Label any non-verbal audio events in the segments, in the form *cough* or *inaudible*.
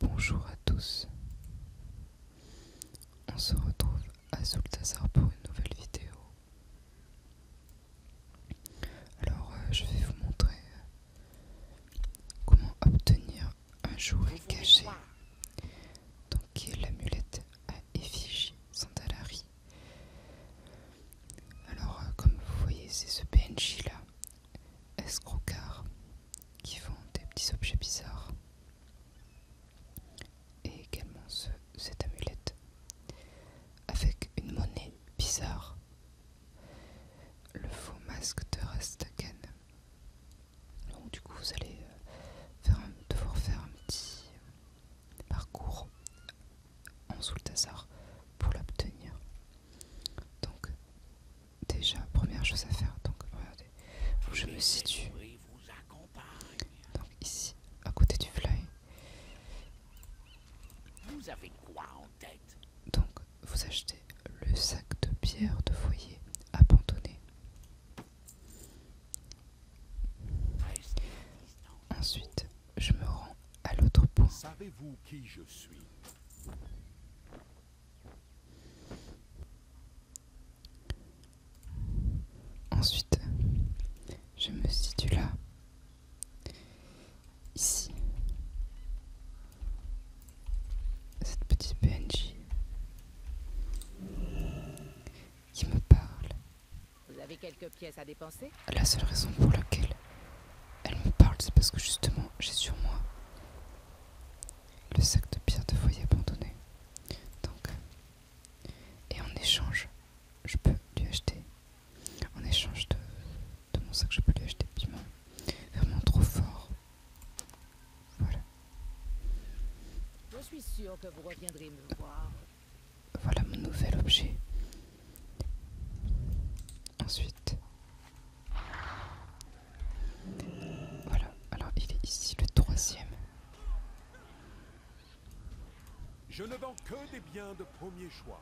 Bonjour à tous, on se retrouve à Zultasar pour une nouvelle vidéo. Alors euh, je vais vous montrer euh, comment obtenir un jouet caché, donc qui est l'amulette à effigie Sandalari. Alors euh, comme vous voyez c'est ce PNJ là escrocards qui font des petits objets bizarres. Et également cette amulette avec une monnaie bizarre. Le faux masque de Rastaken Donc du coup vous allez euh, devoir faire un petit parcours en Sultasar pour l'obtenir. Donc, déjà, première chose à faire, donc regardez, je me situe. Donc ici, à côté du fly. Vous Donc, vous achetez le sac de pierre de foyer abandonné. Ensuite, je me rends à l'autre point. Savez-vous qui je suis Ensuite, je me situe là, ici. Cette petite PNJ qui me parle. Vous avez quelques pièces à dépenser La seule raison pour laquelle elle me parle, c'est parce que justement j'ai sur moi le sac de pierre de foyer abandonné. Donc, et en échange, je peux lui acheter. En échange de, mon sac, je peux lui acheter piment. Vraiment trop fort. Voilà. Je suis sûre que vous reviendrez me voir. Voilà mon nouvel objet. Ensuite, voilà, alors il est ici le troisième. Je ne vends que des biens de premier choix.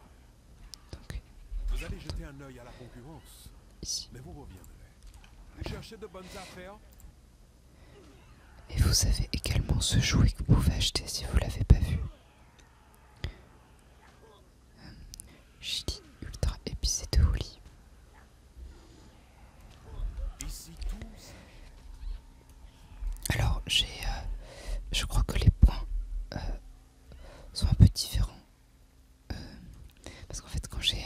Donc, vous allez jeter un œil à la concurrence. Ici. Mais vous reviendrez. Cherchez de bonnes affaires. Et vous avez également ce jouet que vous pouvez acheter si vous l'avez pas vu. Euh, chili ultra épicé de Holly. Alors j'ai, euh, je crois que les points euh, sont un peu différents parce qu'en fait quand j'ai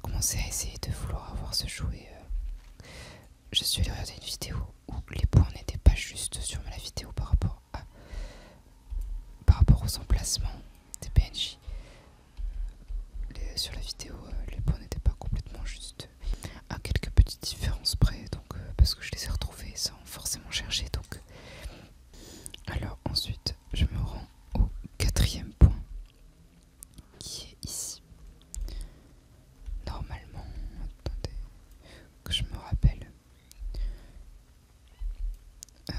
commencé à essayer de vouloir avoir ce jouet, je suis allé regarder une vidéo où les points n'étaient pas juste sur la vidéo par rapport à par rapport aux emplacements des PNJ. sur la vidéo, euh, les points n'étaient pas complètement justes. À quelques petites différences près, donc euh, parce que je les ai retrouvés sans forcément chercher. Donc, euh. alors ensuite, je me rends au quatrième point qui est ici. Normalement, attendez que je me rappelle. Euh,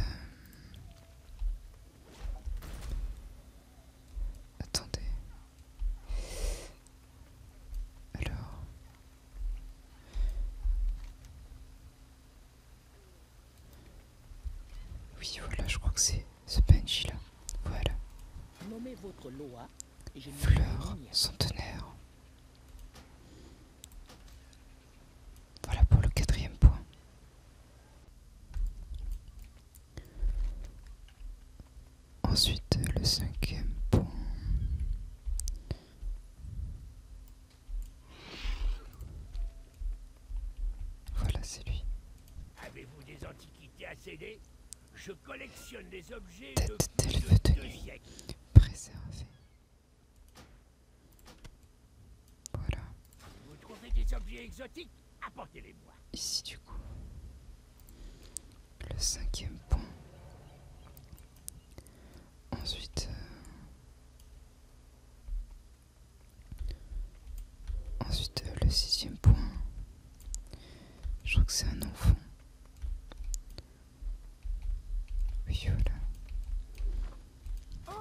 attendez. Alors. Oui, voilà, je crois que c'est ce Benji là. Voilà. Nommez votre loi. Fleur centenaire. Voilà pour le quatrième point. Ensuite, le cinquième point. Voilà, c'est lui. Avez-vous des antiquités à céder Je collectionne des objets Tête Préservée voilà. Vous trouvez des objets exotiques Apportez-les-moi. Ici, du coup, le cinquième point. Ensuite, euh, ensuite euh, le sixième point. Je crois que c'est un enfant. Oh,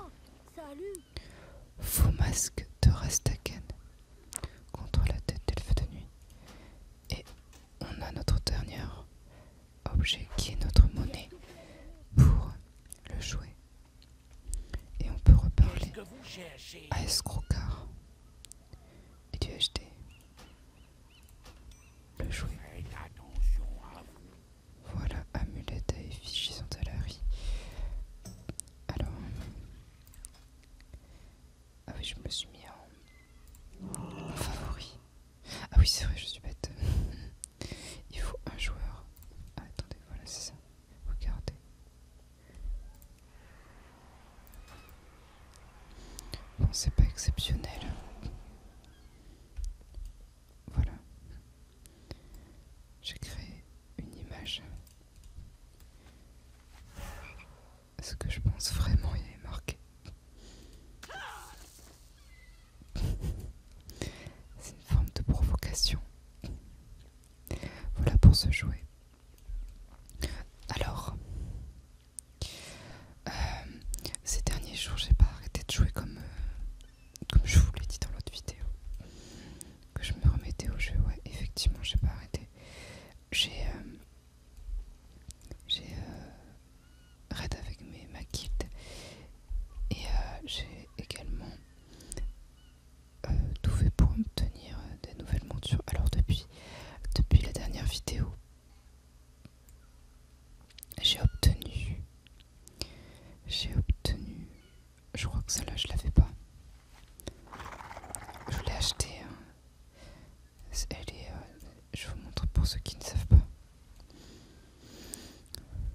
Faux masque de Rastaken contre la tête d'elfe de nuit. Et on a notre dernier objet qui est notre monnaie pour le jouer. Et on peut reparler à Escrocard et du HD le joueur, Voilà, amulette à effigie riz. Alors. Ah oui, je me suis mis en, favori. Ah oui, c'est vrai, je suis bête. *laughs* Il faut un joueur. Ah, attendez, voilà, c'est ça. Regardez. Bon, c'est pas exceptionnel. Voilà. J'ai créé une image. Est-ce que je pense vraiment y est marqué *laughs* C'est une forme de provocation. Voilà pour ce jouet. Alors, euh, ces derniers jours, j'ai pas arrêté de jouer comme, euh, comme je vous l'ai dit dans l'autre vidéo. Que je me remettais au jeu, ouais, effectivement, j'ai pas arrêté. J'ai euh, avec ma guild et j'ai également tout fait pour obtenir des nouvelles montures. Alors depuis, depuis la dernière vidéo, j'ai obtenu. J'ai obtenu. Je crois que celle-là, je l'avais pas. Je l'ai acheté, hein. Elle est. Euh, je vous montre pour ceux qui ne savent pas.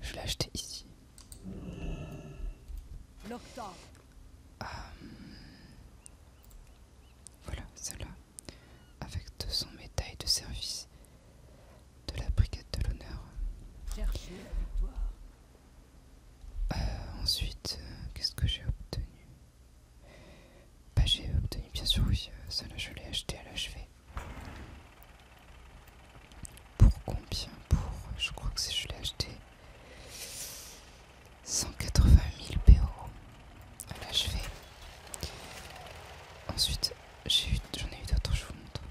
Je l'ai acheté ici. Euh, voilà, celle-là avec 200 son médaille de service de la brigade de l'honneur. Euh, ensuite, euh, qu'est-ce que j'ai obtenu Bah j'ai obtenu bien sûr oui, euh, celle là je l'ai acheté à l'HV. Pour combien Pour, je crois que c'est je l'ai acheté 180 000 PO. Là ah bah, je vais. Ensuite, j'ai eu, j'en ai eu d'autres, je vous montre.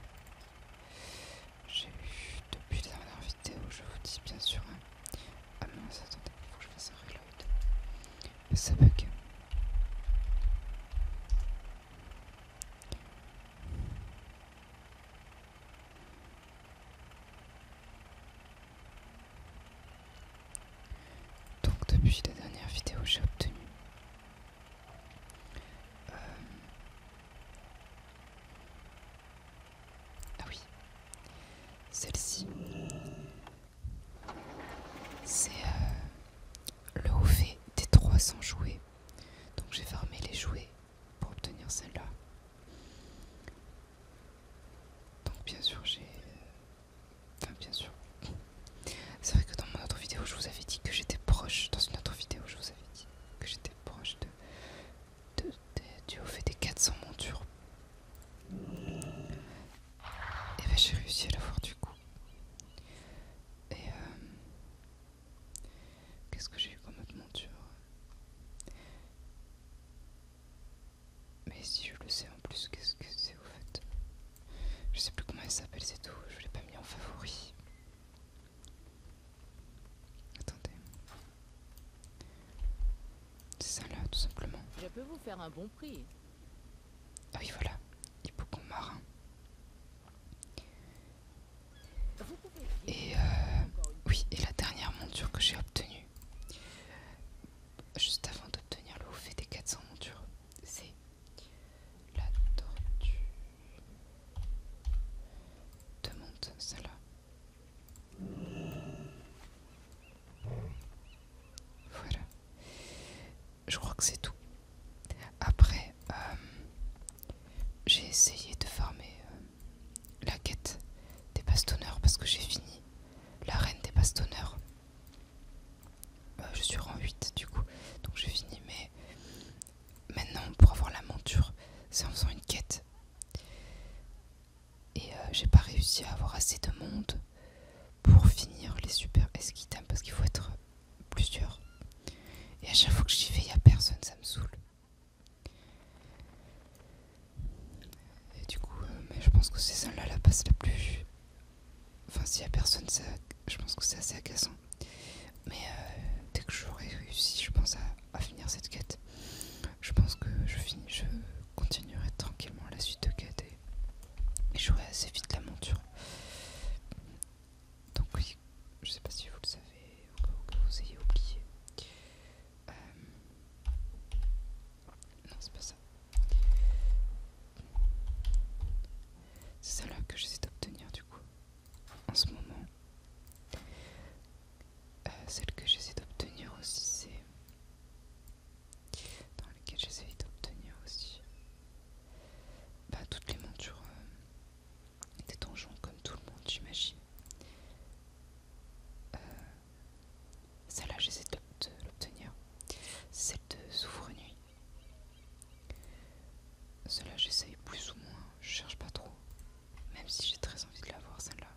J'ai eu depuis la dernière vidéo, je vous dis bien sûr. Hein. Ah non, attendez, il faut que je fasse un reload. Ça bug. Donc depuis la dernière vidéo j'ai obtenu euh, Ah oui Celle-ci C'est euh, le OV des 300 jouets Donc j'ai farmé les jouets pour obtenir celle-là donc bien sûr j'ai Enfin, bien sûr. C'est vrai que dans mon autre vidéo, je vous avais dit que j'étais proche. Dans une autre vidéo, je vous avais dit que j'étais proche de, de, du fait des 400 montures. Et eh ben j'ai réussi à l'avoir du coup. Et euh, qu'est-ce que j'ai eu comme autre monture mais si je le sais en plus, qu'est-ce que c'est au fait Je sais plus comment elle s'appelle, c'est tout. Je l'ai pas mis en favori. Attendez. C'est ça là, tout simplement. Je peux vous faire un bon prix. Ah oui, voilà. Hippocon marin. Et euh, oui, et la dernière monture que j'ai obtenue juste avant d'obtenir le fait des 400 montures. C'est la tortue de monte, celle-là. Voilà. Je crois que c'est tout. Après, euh, j'ai essayé de farmer euh, la quête des bastonneurs parce que j'ai fini la reine des bastonneurs. Euh, je suis rang 8 du coup, donc j'ai fini. Mais maintenant, pour avoir la monture, c'est en faisant une quête. Et euh, j'ai pas réussi à avoir assez de monde pour finir les super esquitames parce qu'il faut être plusieurs. Et à chaque fois que j'y vais, il n'y a personne, ça me saoule. Et du coup, euh, mais je pense que c'est celle-là la passe la plus. Enfin, s'il n'y a personne, ça, je pense que c'est assez agaçant. Mais euh, dès que j'aurai réussi, je pense, à, finir cette quête, je pense que je, finis, je continuerai tranquillement la suite de quête et, jouerai assez vite la monture. Donc, oui, je sais pas si vous le savez ou que vous ayez oublié. Euh, non, c'est pas ça. C'est celle-là que j'essaie d'obtenir du coup en ce moment. Euh, celle que j'essaie d'obtenir aussi, c'est. Dans laquelle j'essaie d'obtenir aussi. Bah, toutes les montures euh, des donjons, comme tout le monde, j'imagine. Celle-là, j'essaie de l'obtenir. Celle de Souffre-Nuit. Celle-là, j'essaye plus ou moins. Je cherche pas trop. Même si j'ai très envie de l'avoir, celle-là.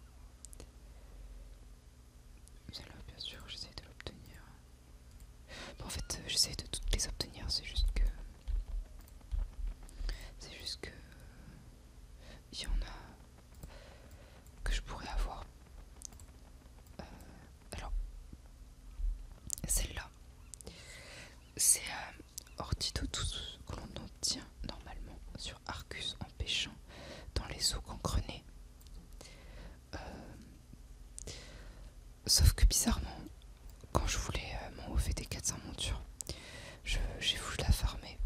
Celle-là, bien sûr, j'essaie de l'obtenir. en fait, euh, j'essaie de toutes les obtenir. C'est juste que. C'est juste que. Il y en a que je pourrais avoir. Euh, alors, celle-là, c'est euh, hors tout ce que l'on obtient normalement sur Arcus en pêchant dans les eaux qu'on crenait euh, sauf que bizarrement, quand je voulais m'en OVD des 400 montures, j'ai voulu la farmer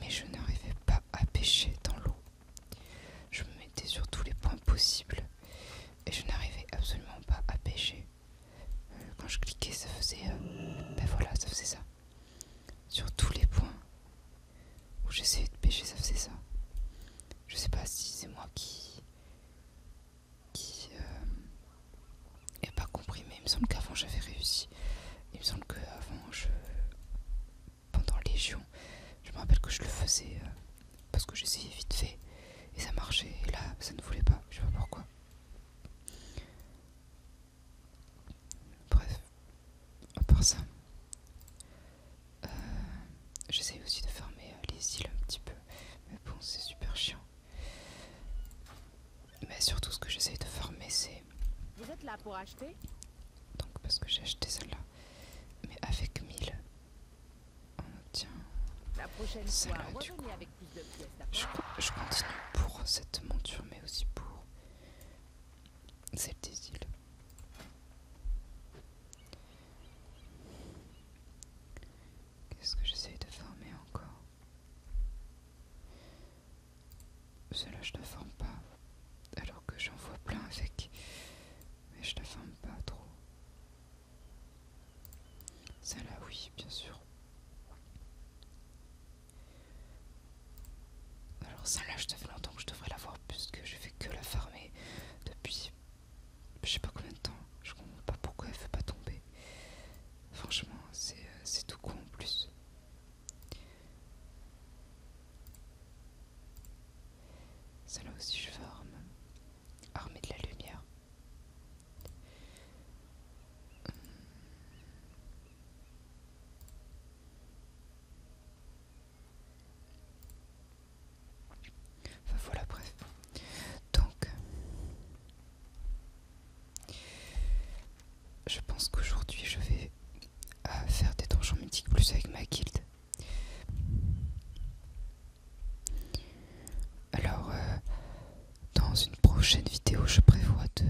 mais je n'arrivais pas à pêcher dans l'eau. Je me mettais sur tous les points possibles et je n'arrivais absolument pas à pêcher. Euh, quand je cliquais, ça faisait. Euh, ben voilà, ça faisait ça. Sur tous les points où j'essayais de pêcher, ça faisait ça. Je sais pas si c'est moi qui. qui. Euh, pas compris, mais il me semble qu'avant j'avais réussi il me semble qu'avant, je... pendant Légion, je me rappelle que je le faisais euh, parce que j'essayais vite fait et ça marchait. Et là, ça ne voulait pas. Je sais pas pourquoi. Bref, à part ça, euh, j'essaye aussi de fermer euh, les îles un petit peu. Mais bon, c'est super chiant. Mais surtout, ce que j'essaye de former, c'est. Vous êtes là pour acheter Donc, parce que j'ai acheté celle-là. Mais avec 1000, on obtient. La prochaine fois, du coup. Avec je, je continue pour cette monture, mais aussi pour celle des îles. Qu'est-ce que j'essaye de former encore celle-là, je la forme pas. Alors que j'en vois plein avec. Mais je la forme pas trop. Celle-là, oui, bien sûr. Alors celle-là, je te fais longtemps que je devrais l'avoir puisque je fais que la farmer depuis je sais pas combien de temps. Je comprends pas pourquoi elle fait pas tomber. Franchement, euh, c'est tout con en plus. Cela aussi je forme, armée de la lumière. Enfin voilà, bref. Donc, je pense qu'aujourd'hui je vais euh, faire des donjons mythiques plus avec ma guilde. Alors, euh, dans une prochaine vidéo, je prévois de,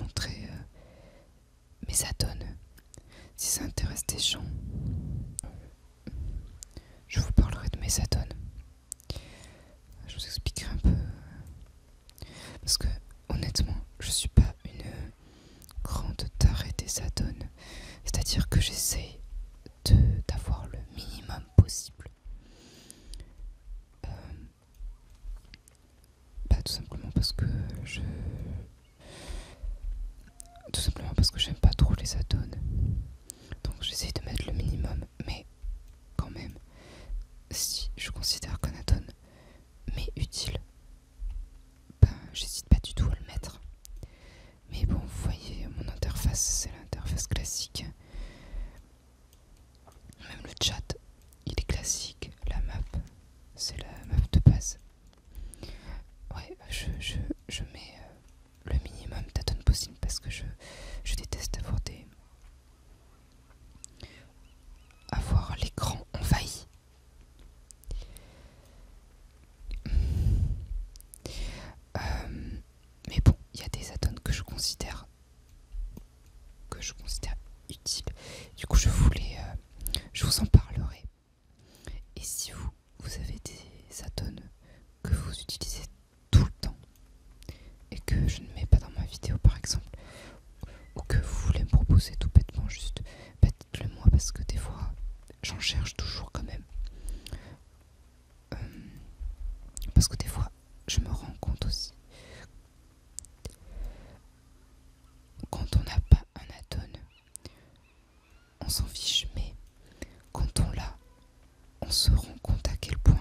montrer euh, mes add Si ça intéresse des gens, je vous parlerai de mes add je vous expliquerai un peu. Euh, parce que honnêtement, je suis pas une grande tarée des add cest C'est-à-dire que j'essaie d'avoir le minimum possible. Pas euh, bah, tout simplement parce que je. Tout simplement parce que j'aime pas trop les add Donc j'essaie de mettre le minimum mais quand même, si je considère Conaton mais utile, ben j'hésite pas du tout à le mettre. Mais bon, vous voyez, mon interface, c'est l'interface classique. Même le chat, il est classique. La map, c'est la map de base. Ouais, je, je, je mets euh, le minimum d'aton possible parce que je, je déteste avoir des, avoir l'écran envahi. Euh, mais bon, il y a des add que je considère que je considère utiles. Du coup, je voulais, euh, je vous en parlerai. Et si vous, vous avez des add que vous utilisez tout le temps et que je ne mets pas dans ma vidéo par exemple ou que vous voulez me proposer tout bêtement juste bah, dites-le moi parce que des fois j'en cherche toujours quand même euh, parce que des fois je me rends compte aussi quand on n'a pas un atone on s'en fiche mais quand on l'a on se rend compte à quel point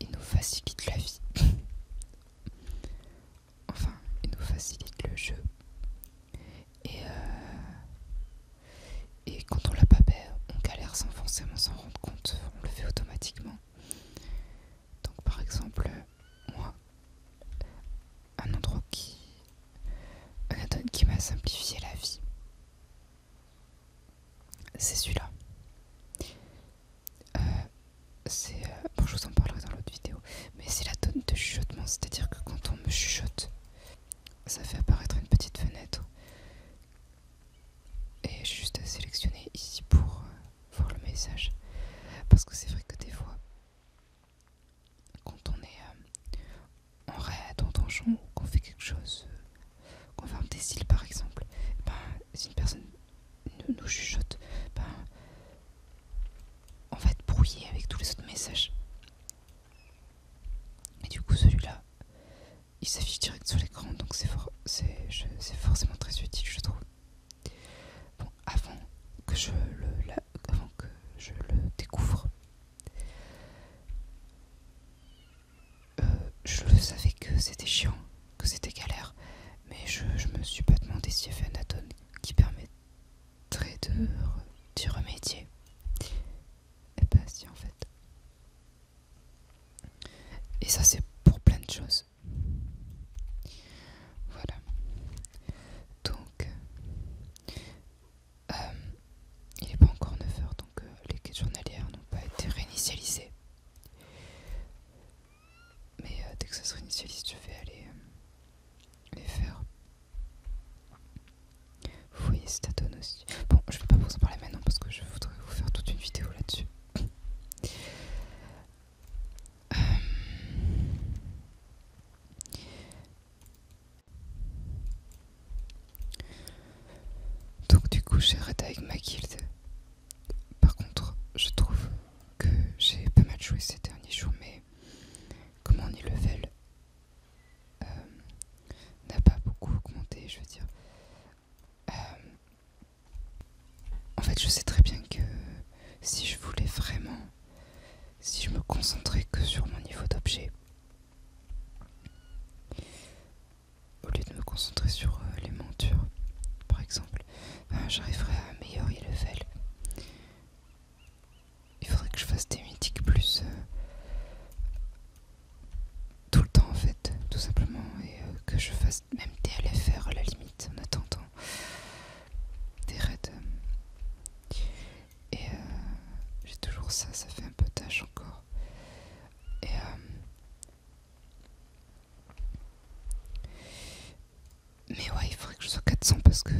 il nous facilite la vie. *laughs* enfin, il nous facilite le jeu. Euh, et, quand on l'a pas fait, on galère sans forcément s'en rendre compte. On le fait automatiquement. Donc par exemple, moi, un endroit qui, qui m'a simplifié la vie, c'est celui-là. Euh, c'est... Euh, bon, je vous en parlerai dans l'autre vidéo. Mais c'est la tonne de chuchotement, c'est-à-dire que quand on me chuchote, ça fait apparaître une petite fenêtre. Et juste sélectionner ici pour euh, voir le message. Parce que c'est vrai que des fois, quand on est en raid, en donjon, ou qu'on fait quelque chose Conforme des îles, par exemple, bah, si une personne nous chuchote, bah, on va être brouillé avec tous les autres messages. Et du coup, celui-là, il s'affiche direct sur l'écran, donc c'est forcément très utile, je trouve. Bon, le, avant que je le découvre, euh, je le savais que c'était chiant, que c'était galère, mais je, me suis pas demandé s'il y avait un atome qui permettrait de d'y remédier. Et ben, si en fait. Et ça c'est pour plein de choses. Voilà. Donc, euh, il est pas encore 9h, donc donc les quêtes journalières n'ont pas été réinitialisées. Mais euh, dès que ça se réinitialise, je vais aller euh, les faire. Vous voyez donne aussi. Bon, je ne vais pas vous en parler maintenant parce que je voudrais vous faire toute une vidéo là-dessus. Euh, donc du coup j'ai arrêté avec ma guilde. Par contre je trouve que j'ai pas mal joué ces derniers jours mais comment on niveau level euh, n'a pas beaucoup augmenté je veux dire. Euh, en fait je sais très bien que si je voulais vraiment, si je me concentrais que sur mon niveau d'objet, au lieu de me concentrer sur euh, les montures, par exemple, ben, j'arriverai à un meilleur level Il faudrait que je fasse des mythiques plus euh, tout le temps en fait, tout simplement, et euh, que je fasse même des LFR à la limite en attendant des raids. Et j'ai toujours ça, ça fait un peu tâche encore. Et, euh, Mais ouais, il faudrait que je sois 400 parce que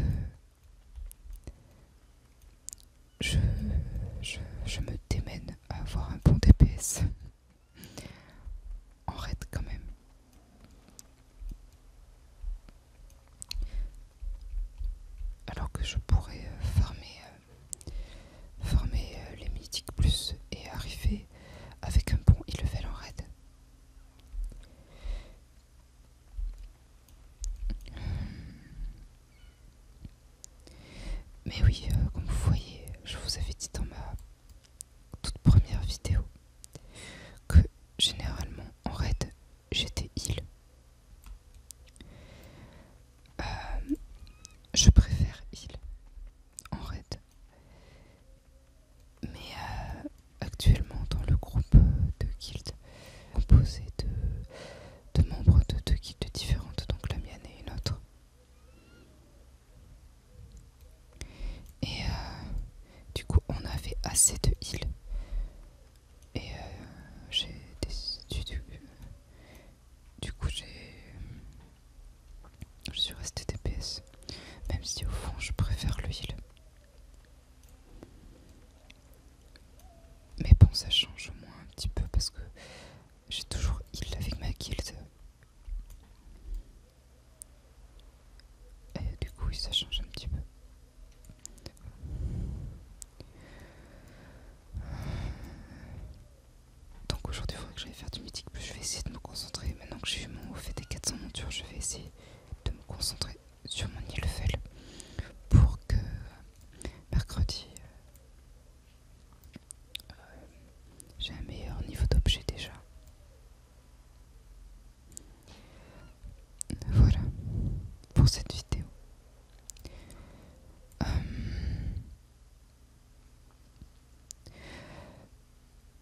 je, je me démène à avoir un bon DPS en raid quand même. Alors que je pourrais euh, farmer euh, former euh, les mythiques plus et arriver avec un bon E-Level en raid. Mais oui, euh, comme vous voyez, je vous avais dit dans ma toute première vidéo que généralement en raid j'étais heal euh, je préfère il en raid. Mais euh, actuellement dans le groupe de guild composé de, membres de deux guildes différentes, donc la mienne et une autre. Et euh, du coup on avait assez de heal. Et j'ai décidé, du coup, j'ai. Je suis restée DPS. Même si au fond, je préfère le heal. Mais bon, ça change au moins un petit peu parce que j'ai toujours heal avec ma guild. Et du coup, ça change un petit peu. Donc aujourd'hui il faudrait que j'aille faire du mythique je vais essayer de me concentrer. Maintenant que j'ai eu mon fait des 400 montures, je vais essayer de me concentrer sur mon île pour que mercredi euh, j'ai un meilleur niveau d'objet déjà. Voilà pour cette vidéo. Euh,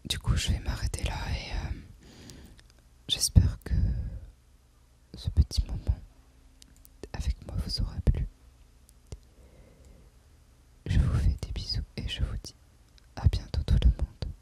du coup, je vais m'arrêter là et euh, j'espère que ce petit moment avec moi vous aura plu. Je vous fais des bisous et je vous dis à bientôt tout le monde.